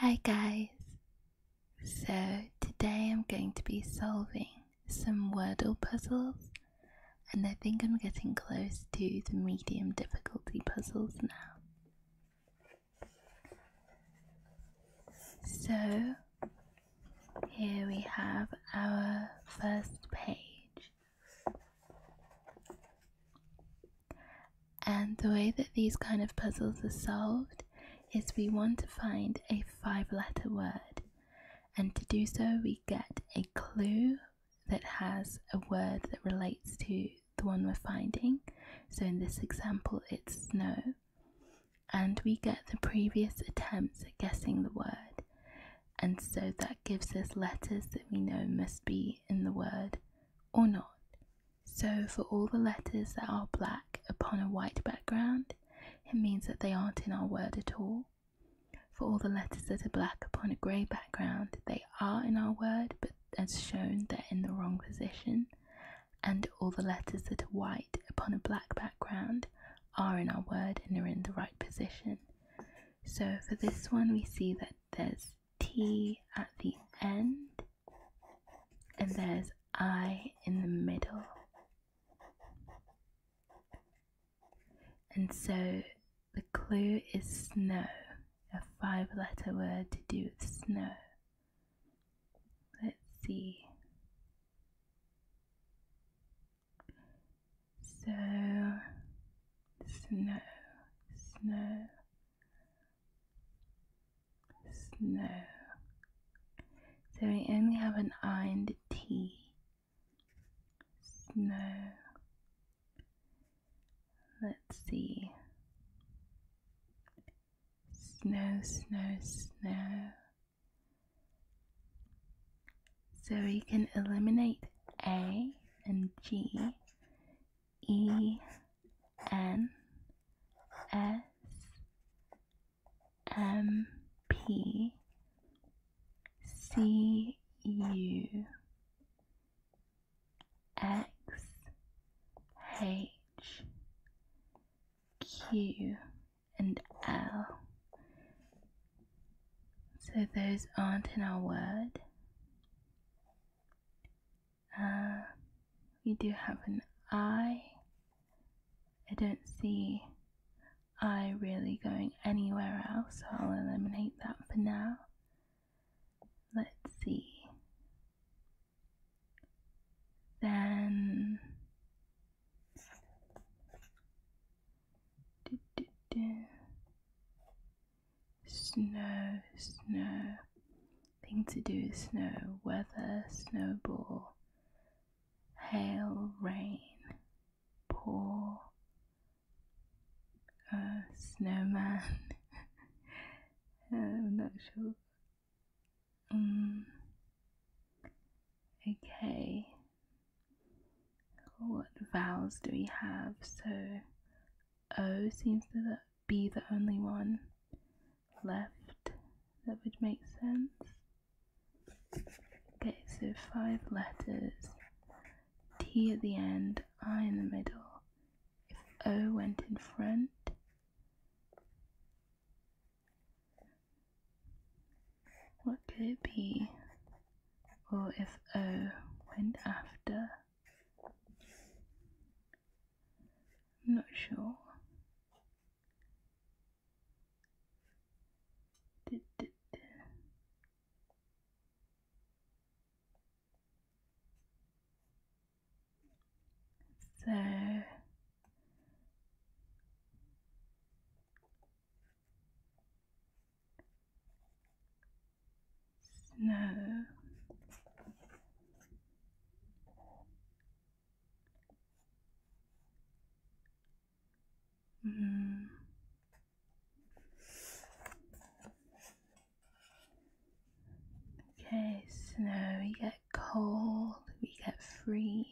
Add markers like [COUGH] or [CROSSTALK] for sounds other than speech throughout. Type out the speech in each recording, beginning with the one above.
Hi guys! So today I'm going to be solving some Wordle puzzles and I think I'm getting close to the medium difficulty puzzles now. So here we have our first page and the way that these kind of puzzles are solved is we want to find a five letter word. And to do so, we get a clue that has a word that relates to the one we're finding. So in this example, it's snow. And we get the previous attempts at guessing the word. And so that gives us letters that we know must be in the word or not. So for all the letters that are black upon a white background, it means that they aren't in our word at all. For all the letters that are black upon a grey background, they are in our word, but as shown, they're in the wrong position. And all the letters that are white upon a black background are in our word and are in the right position. So for this one, we see that there's T at the end, and there's I in the middle. And so the clue is snow, a five letter word to do with snow. Let's see. So, snow, snow, snow. So we only have an I and a T. Snow. Let's see. Snow, snow, snow. So we can eliminate A and G, E, N, S M P C U X H Q and L. So those aren't in our word. Uh, we do have an eye. I don't see eye really going anywhere else, so I'll eliminate that for now. Let's see. Then snow, snow. Thing to do is snow, weather, snowball, hail, rain, pour, uh, snowman. [LAUGHS] Oh, I'm not sure. Um, okay. What vowels do we have? So, O seems to the be the only one left that would make sense. Okay, so five letters. T at the end, I in the middle. If O went in front, what could it be? Or if O went after, I'm not sure. So snow. Mm. Okay, snow, we get cold, we get freeze.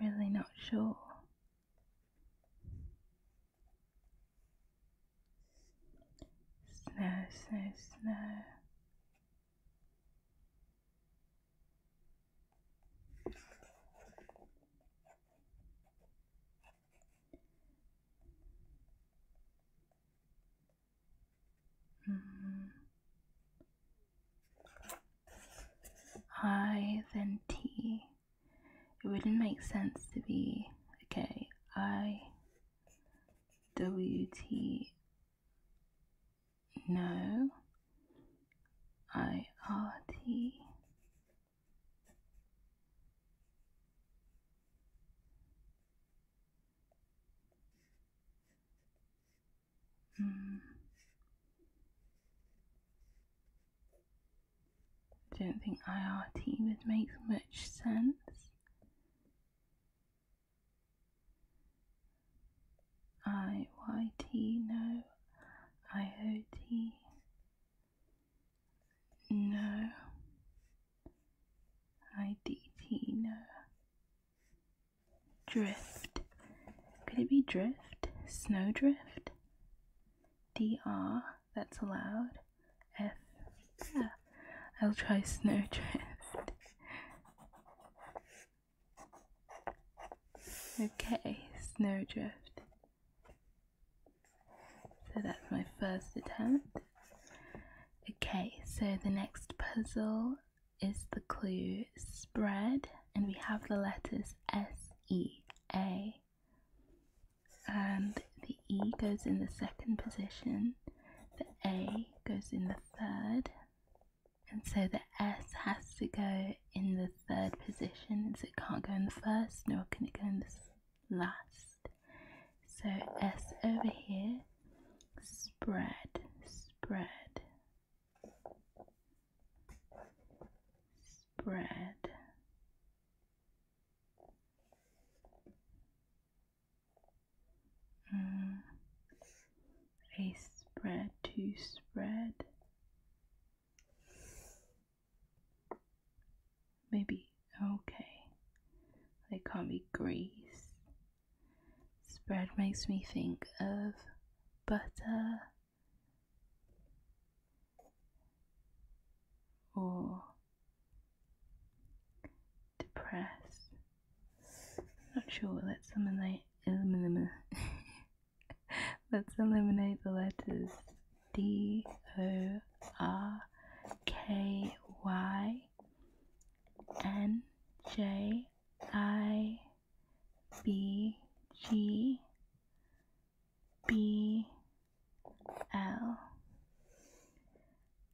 I'm really not sure. Snow, snow, snow. -hmm. I then T. It wouldn't make sense to be okay. I W T. No. I R T. Mm. I don't think IRT would make much sense. IYT, no. IOT. No. IDT, no. Drift. Could it be drift? Snowdrift? DR, that's allowed. F, yeah. I'll try snowdrift. Okay, snowdrift. So that's my first attempt. Okay, so the next puzzle is the clue spread, and we have the letters S, E, A, and the E goes in the second position, the A goes in the third, and so the S has to go in the third position, and so it can't go in the first, nor can it go in the last. So S over here, spread, spread, spread. Mm. A spread, two spread maybe okay. They can't be grease. Spread makes me think of butter or depressed. Not sure. Let's eliminate eliminate. [LAUGHS] Let's eliminate the letters D O R K Y N J I B G B L.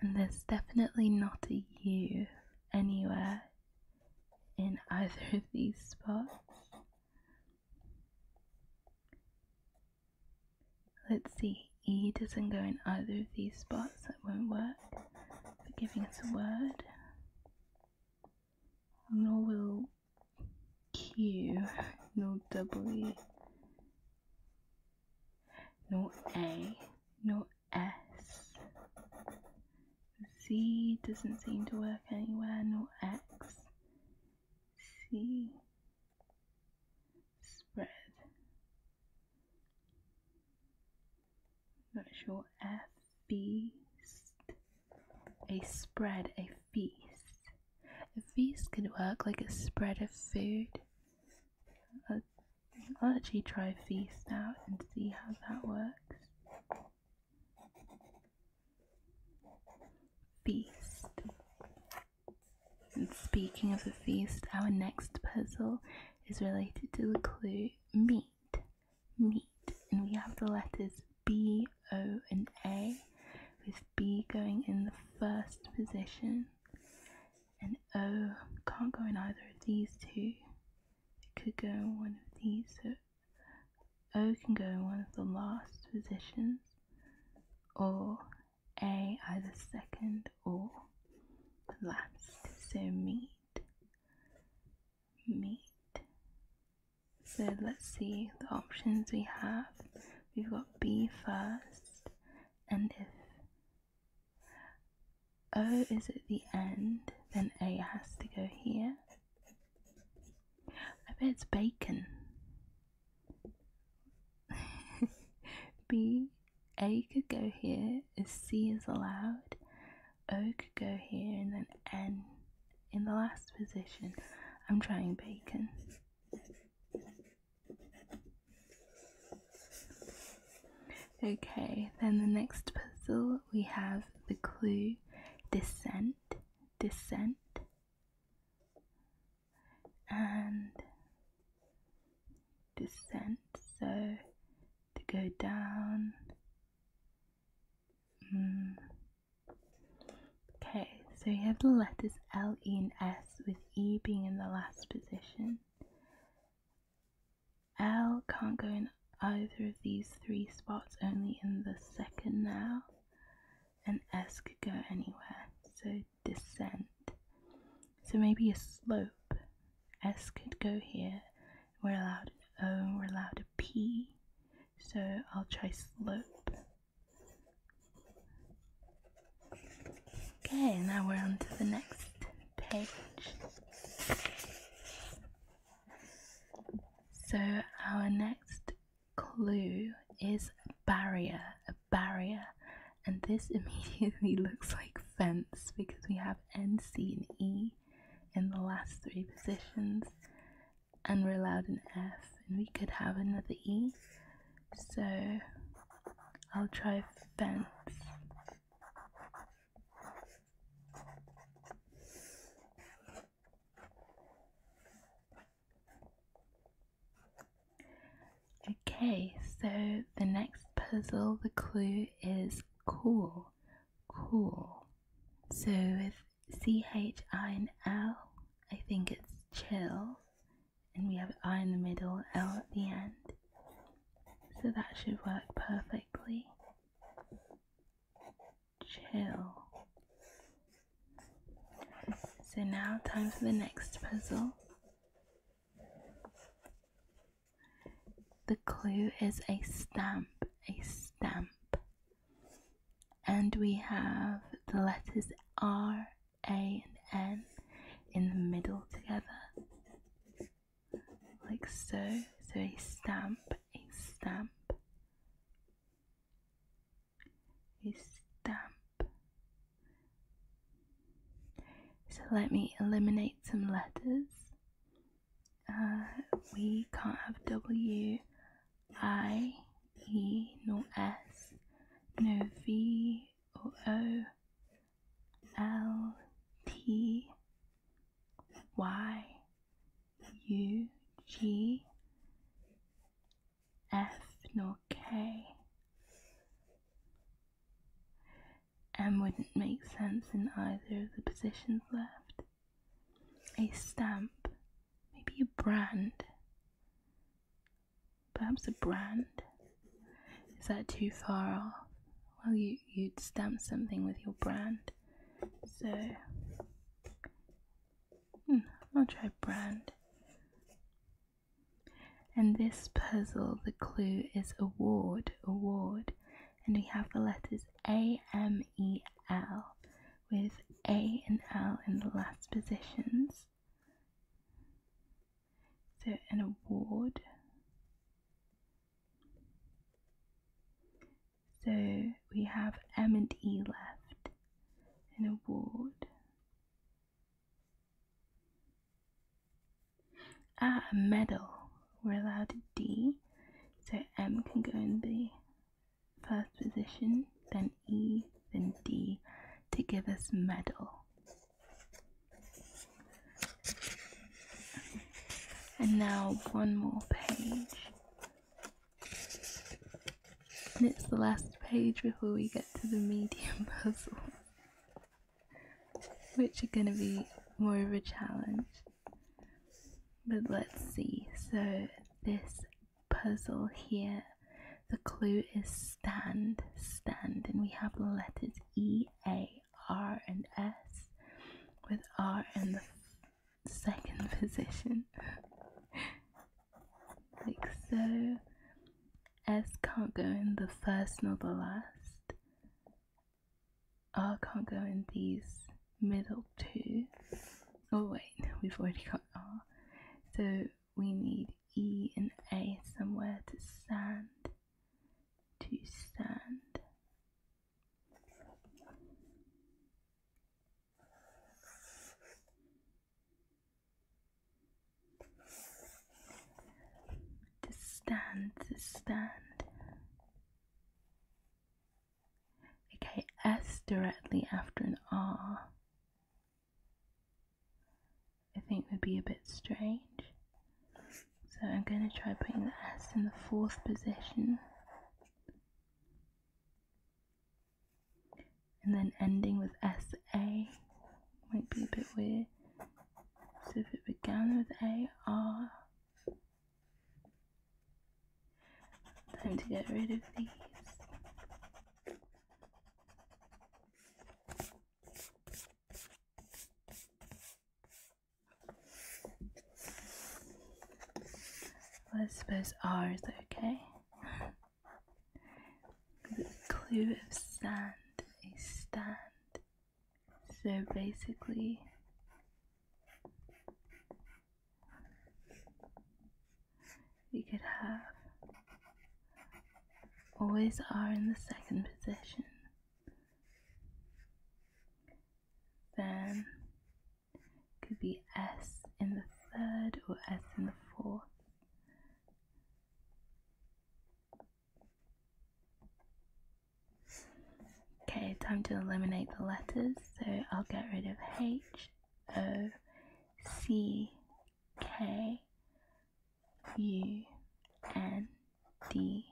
And there's definitely not a U anywhere in either of these spots. Let's see, E doesn't go in either of these spots, that won't work for giving us a word. Nor will Q, No W, No A, No S. Z doesn't seem to work anywhere, nor X. C, spread. Virtual a feast. A spread, a feast. A feast could work like a spread of food. I'll, I'll actually try feast out and see how that works. Feast. And speaking of the feast, our next puzzle is related to the clue meat. Meat. And we have the letters B, O, and A, with B going in the first position, and O can't go in either of these two. It could go in one of these, so O can go in one of the last positions, or a either second or last. So meet, meet. So let's see the options we have. We've got B first and if O is at the end, then A has to go here. I bet it's bacon. B. A could go here if C is allowed. O could go here and then N in the last position. I'm trying bacon. Okay, then the next puzzle we have the clue descent, descent, and descent, so to go down. Mm. Okay, so you have the letters L, E, and S, with E being in the last position. L can't go in either of these three spots, only in the second now, and S could go anywhere. So descent. So maybe a slope. S could go here. We're allowed an oh, O, we're allowed a P. So I'll try slope. Okay, now we're on to the next page. So our next clue is barrier, a barrier. And this [LAUGHS] immediately looks like fence because we have N, C, and E in the last three positions. And we're allowed an F, and we could have another E. So I'll try fence. Okay, so the next puzzle, the clue is cool. Cool. So with C H I think it's chill. And we have I in the middle, L at the end. So that should work perfectly. Chill. So now time for the next puzzle. The clue is a stamp, a stamp. And we have the letters R, A, and N in the middle together. Like so. So a stamp, a stamp stamp. So let me eliminate some letters. Uh, we can't have W, I, E, nor S, no V or O, L, T, Y, U, G, F nor K. M wouldn't make sense in either of the positions left. A stamp, maybe a brand. Perhaps a brand. Is that too far off? Well, you, you'd stamp something with your brand. So, hmm, I'll try brand. In this puzzle, the clue is award, award, and we have the letters A, M, E, L, with A and L in the last positions. So an award. So we have M and E left, an award. Ah, a medal. We're allowed a D, So M can go in the first position, then E, then D to give us medal. And now one more page. And it's the last page before we get to the medium [LAUGHS] puzzle, which are going to be more of a challenge. But let's see. So, this puzzle here, the clue is stand, stand, and we have the letters E, A, R, and S, with R in the second [LAUGHS] position like so. S can't go in the first nor the last. R can't go in these middle two. Oh wait, we've already got R. So we need E and A somewhere to stand. To stand. This stand, this stand. Okay, S directly after an R. I think would be a bit strange. So I'm going to try putting the S in the fourth position and then ending with SA might be a bit weird. So if it began with AR, time to get rid of these. Well, I suppose R is okay. [LAUGHS] a clue of sand, a stand. So basically, we could have always are in the second position. Then could be S in the third or S in the fourth. Okay, time to eliminate the letters. So I'll get rid of H, O, C, K, U, N, D,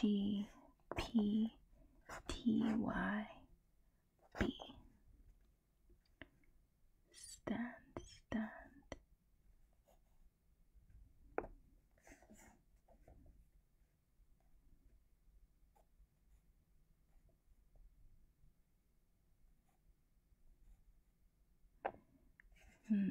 G, P, T, Y, B stand, stand. Hmm.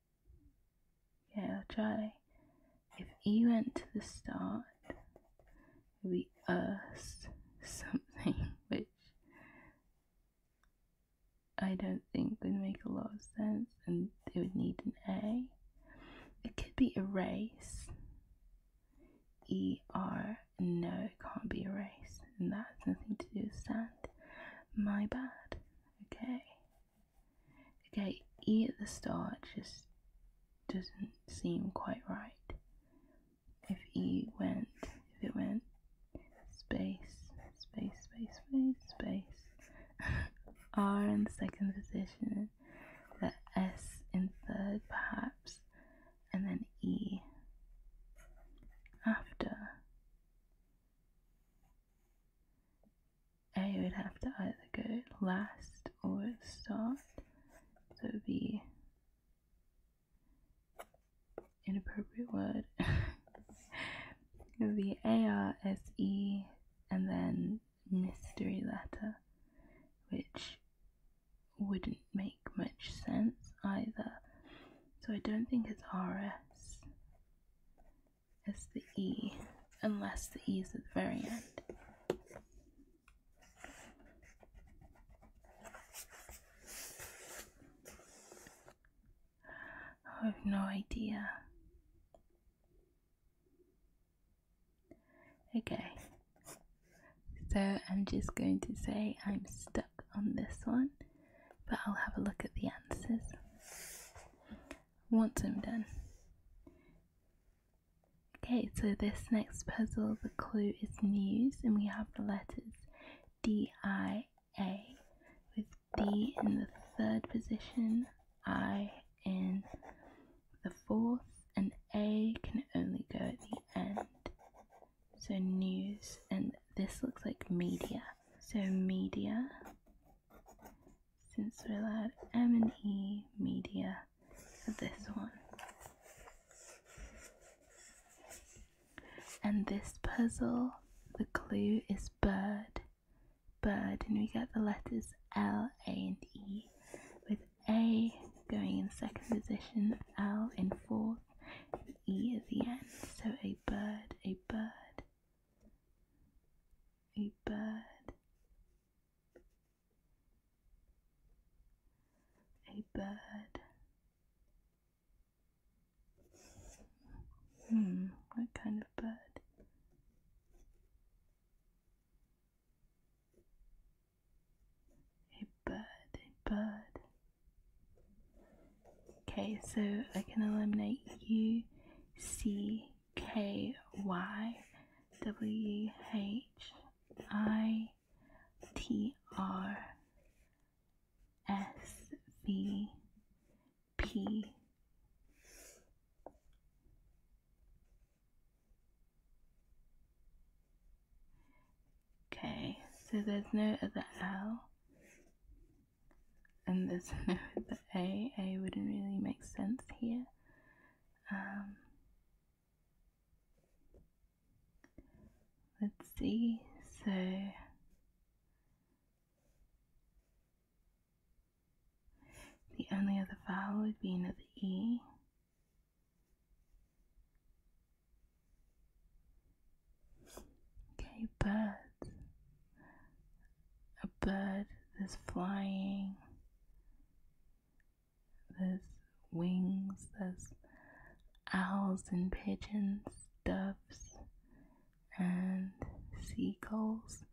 Okay, i try. If E went to the start, it would be us [LAUGHS] something, which I don't think would make a lot of sense, and it would need an A. It could be erase. E R. No, it can't be erase, and that has nothing to do with sand. My bad. Okay, Okay, E at the start just doesn't seem quite right. If E went, if it went space, space, space, space, space, [LAUGHS] R in second position, the S in third perhaps, and then E after. I would have to either go last or start. So the inappropriate word. [LAUGHS] the A R S E and then mystery letter, which wouldn't make much sense either. So I don't think it's RS. It's the E, unless the E is at the very end. I have no idea. Okay, so I'm just going to say I'm stuck on this one, but I'll have a look at the answers once I'm done. Okay, so this next puzzle, the clue is news, and we have the letters D I A with D in the third position, I in the fourth, and A can only go at the end. So news, and this looks like media. So media since we're allowed M and E media for this one. And this puzzle, the clue is bird, bird, and we get the letters L, A, and E, with A going in second position, L in fourth, E at the end. So a bird, a bird, a bird, a bird. Hmm, what kind of bird? A bird, a bird. Okay, so I can eliminate U, C, K, Y, W, H, I, T, R, S, V, P, Okay, so there's no other L and there's no [LAUGHS] the A. A wouldn't really make sense here. Um, let's see. So the only other vowel would be another E. Okay, bird a bird that's flying, there's wings, there's owls and pigeons, doves and seagulls.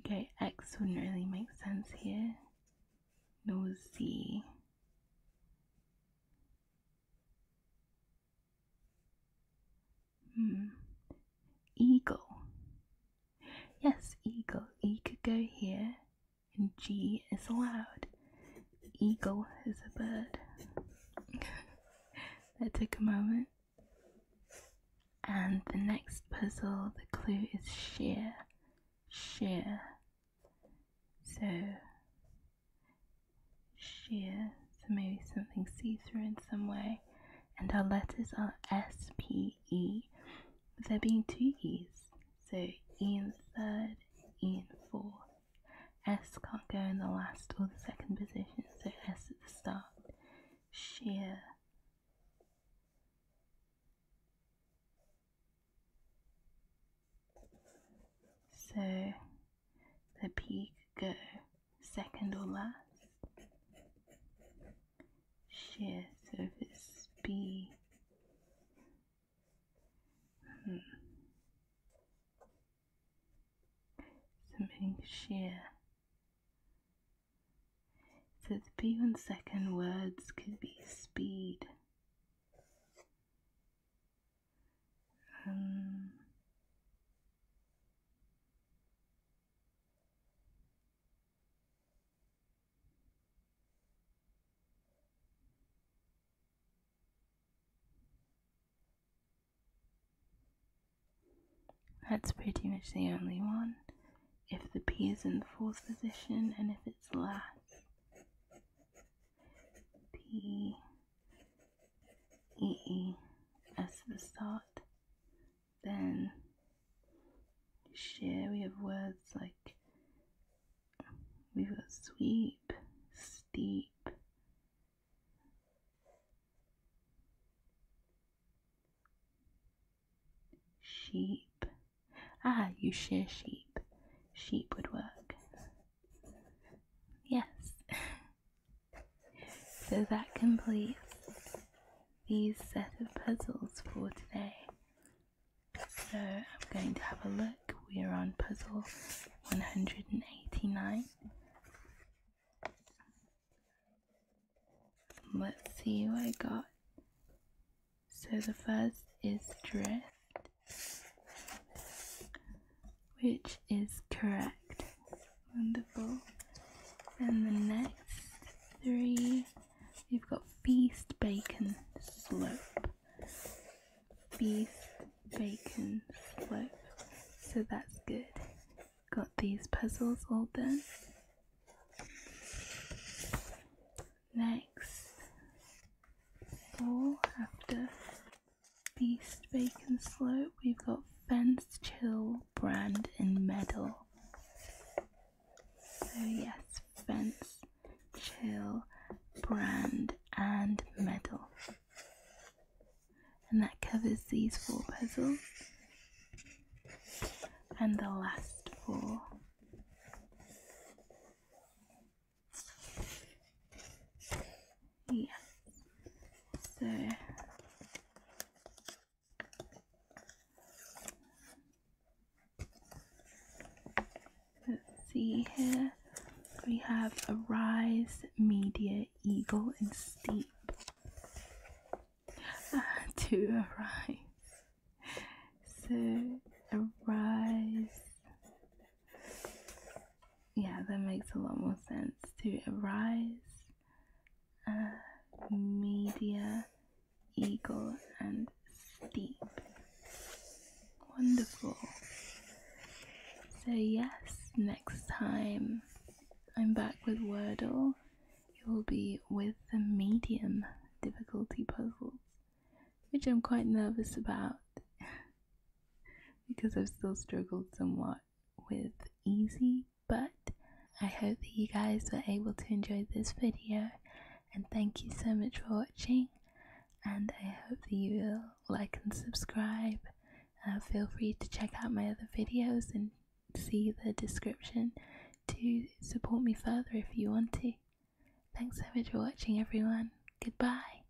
Okay, X wouldn't really make sense here, No, Z. Hmm. Eagle. Yes, eagle. E could go here, and G is allowed. Eagle is a bird. [LAUGHS] that took a moment. And the next puzzle, the clue is sheer. Sheer. So, sheer, so maybe something see through in some way. And our letters are S, P, E, there being two E's. So E in third, E in fourth. S can't go in the last or the second position, so S at the start. Sheer. So the pig go second or last. Sheer surface B. Hmm. Something sheer. So the B one second words could be speed. Um, that's pretty much the only one. If the P is in the fourth position and if it's last. P E, E, as the start. Then share, we have words like we've sweep, steep, sheep. Ah, you share sheep. Sheep would work. Yes. [LAUGHS] So that completes these set of puzzles for today. So I'm going to have a look. We are on puzzle 189. Let's see what I got. So the first is dress which is correct. Wonderful. And the next three, we've got Feast Bacon Slope. Feast Bacon Slope. So that's good. Got these puzzles all done. Next, four after Beast, Bacon Slope, we've got Fence Chill, Brand, and Medal. So, yes, Fence, Chill, Brand, and Medal. And that covers these four puzzles and the last four. Yeah. So let's see here. We have a rise, Media, Eagle, and Steep. [LAUGHS] to Arise. So Arise yeah, that makes a lot more sense. To arise, uh, media, eagle, and steep. Wonderful. So, yes, next time I'm back with Wordle, it will be with the medium difficulty puzzles, which I'm quite nervous about. [LAUGHS] because I've still struggled somewhat with easy, but I hope that you guys were able to enjoy this video and thank you so much for watching and I hope that you will like and subscribe. Uh, feel free to check out my other videos and see the description to support me further if you want to. Thanks so much for watching everyone. Goodbye.